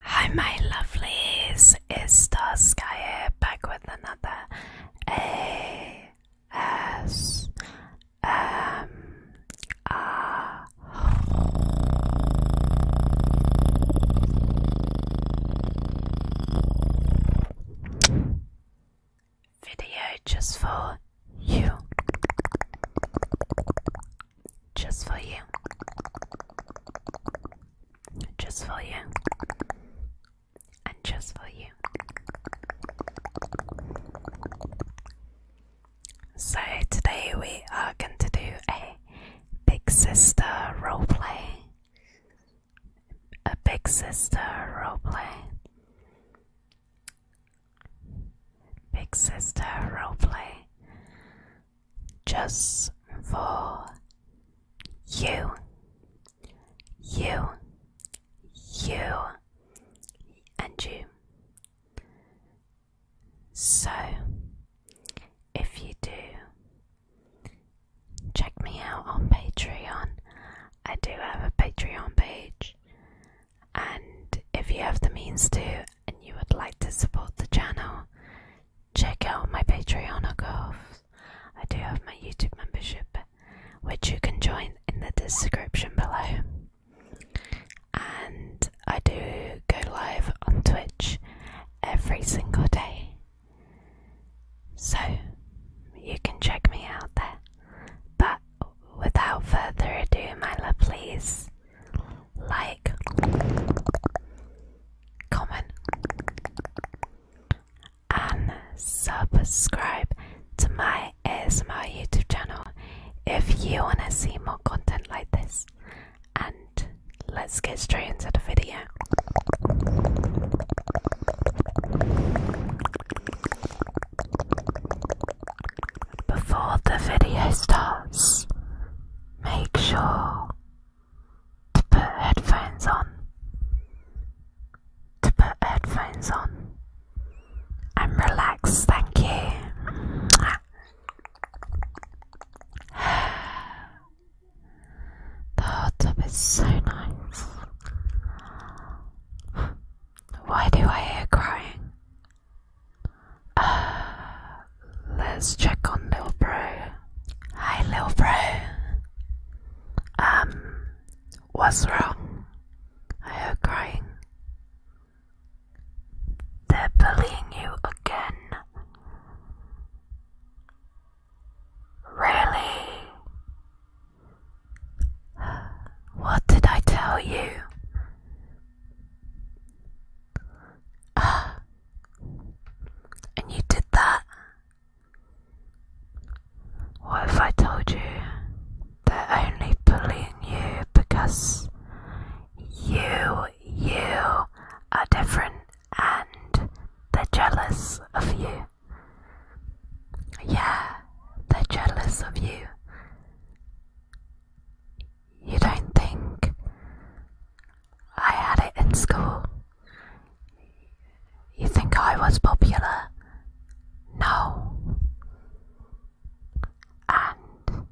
Hi, my lovelies, it's here, back with another ASMR video just for you. Just for you. Just for you. And just for you. So today we are going to do a big sister role roleplay. A big sister role roleplay. Big Sister roleplay just for you, you, you, and you. So, if you do, check me out on Patreon. I do have a Patreon page. And if you have the means to and you would like to support the channel, check out my Patreon or I do have my YouTube membership, which you can join in the description below. And I do go live on Twitch every single day. So you can check me out there. But without further ado, my love, please like, comment, and subscribe to my ASMR YouTube channel if you want to see more content like this. And let's get straight into the video. Before the video starts, make sure to put headphones on. To put headphones on and relax, thank you. The hot tub is so nice. Why do I hear crying? Uh, let's check on little Bro. Hi, Lil Bro. Um, what's wrong? I heard crying. They're bullying you again. Really? What did I tell you? Ah, and you did that. What if I told you they're only bullying you because you, you are different and they're jealous of you? Yeah, they're jealous of you. You don't think I had it in school? You think I was popular? No. And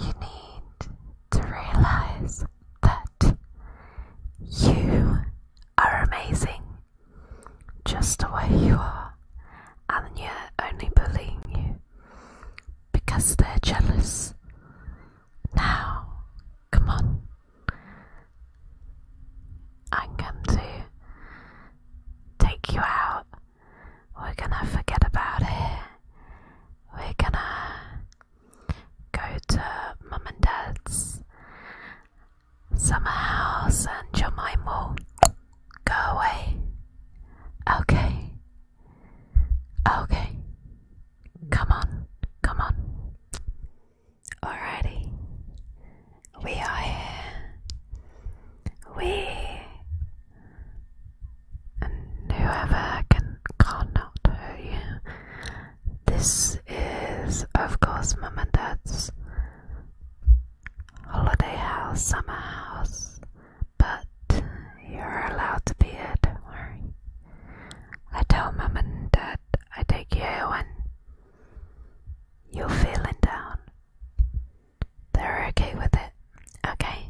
you need to realize that you are amazing, just the way you are, and they're only bullying you because they're jealous. Now, come on, I'm going to take you out. We're gonna forget about it. We're gonna go to mum and dad's Summerhouse house and Jemima. Go away. Okay. Okay. Come on. Come on. Alrighty. We are here. We and whoever can cannot hear you this is, of course, mom and Dad's holiday house, summer house, but you're allowed to be here, I tell mom and Dad I take you here when you're feeling down. They're okay with it, okay?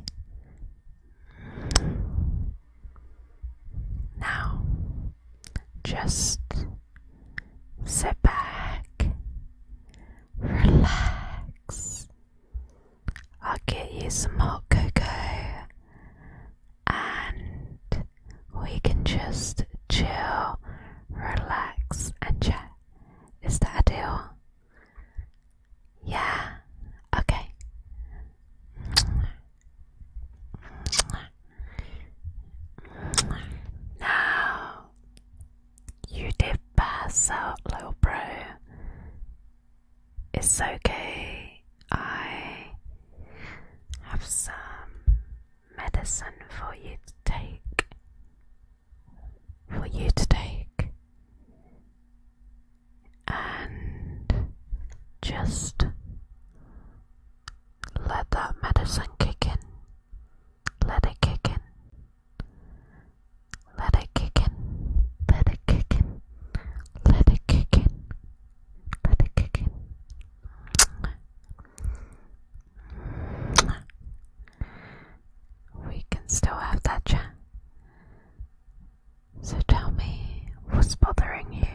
Now, just Sit back, relax. I'll get you some hot cocoa and we can just chill, relax, and chat. Is that a deal? Yeah, okay. Now, you did pass out, little bro. It's okay. I have some medicine for you to take. For you to take. And just let that medicine kick in. Let it kick in. Let it kick in. Let it kick in. Let it kick in. Let it kick in. We can still have that chat. So tell me what's bothering you.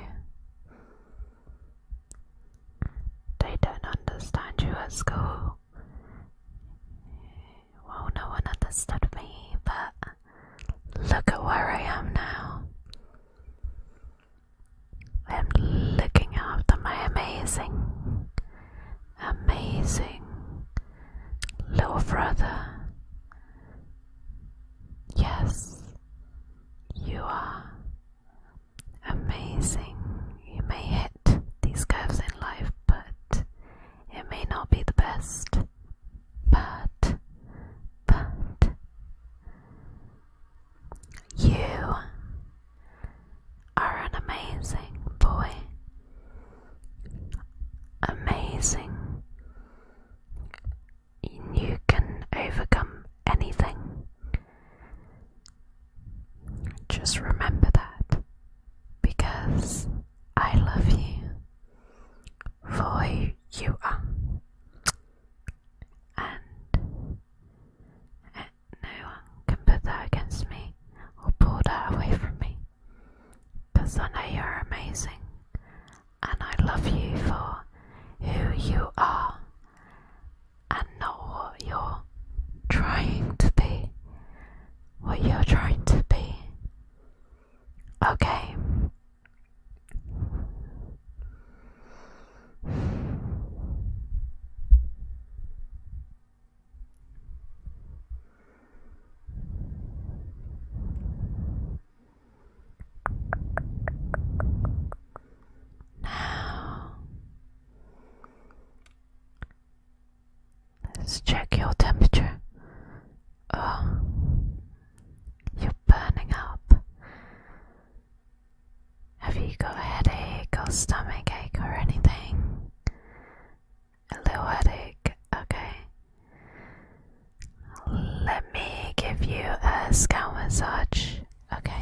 They don't understand you at school. Well, no one understood me, but look at where I am now. I'm looking after my amazing, amazing little brother. Yes, you are Amazing. You may hit these curves in life, but it may not be the best. But, but, you are an amazing boy. Amazing you can overcome anything. Just remember that because I love you for who you are. And uh, no one can put that against me or pull that away from me because I know you're amazing and I love you for who you are and not what you're trying to be. What you're trying to be. Okay. Now, let's check your temperature. Oh, you're burning up. Have you got a headache or stomach ache or anything? A little headache, okay. Let me give you a scalp massage. Okay. Okay.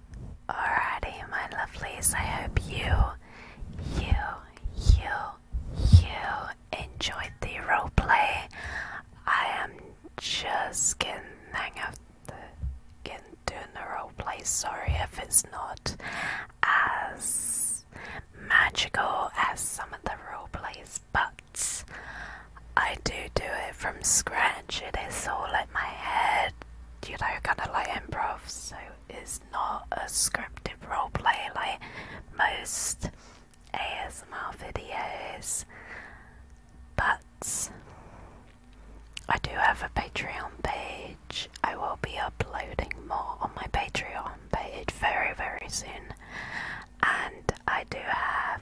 Alrighty, my lovelies, I hope you, you, you, you enjoyed the roleplay. I am just getting hang of the getting doing roleplay. Sorry if it's not as magical as some of the roleplays, but I do do it from scratch. It is all in my head, you know, kind of like improv. So it's not a scripted role play like most ASMR videos. But I do have a Patreon page. I will be uploading more on my Patreon page very, very soon. And I do have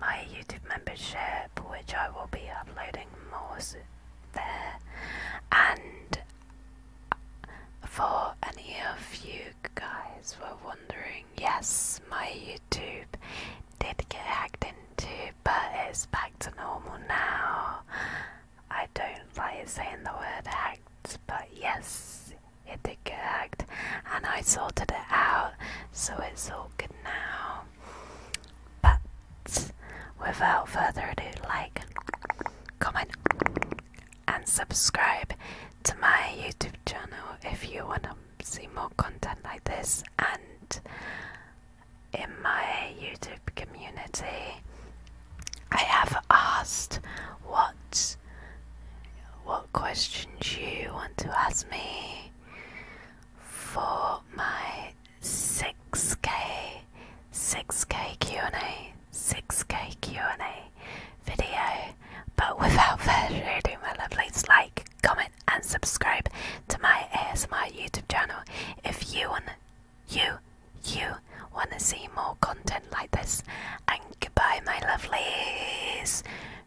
my YouTube membership, which I will be uploading more there. And for any of you guys were wondering, yes, my YouTube did get hacked into, but it's back to normal now. I don't like saying the word hacked, but yes, it did get hacked, and I sorted it out, so it's all good now. But without further ado, like, comment, and subscribe to my YouTube channel if you want to see more content like this and in my YouTube community I have asked what what questions you want to ask me for my 6k 6k Q&A 6k Q&A video but without further ado my lovelies like comment and subscribe to my ASMR YouTube channel if you want you you want to see more content like this and goodbye my lovelies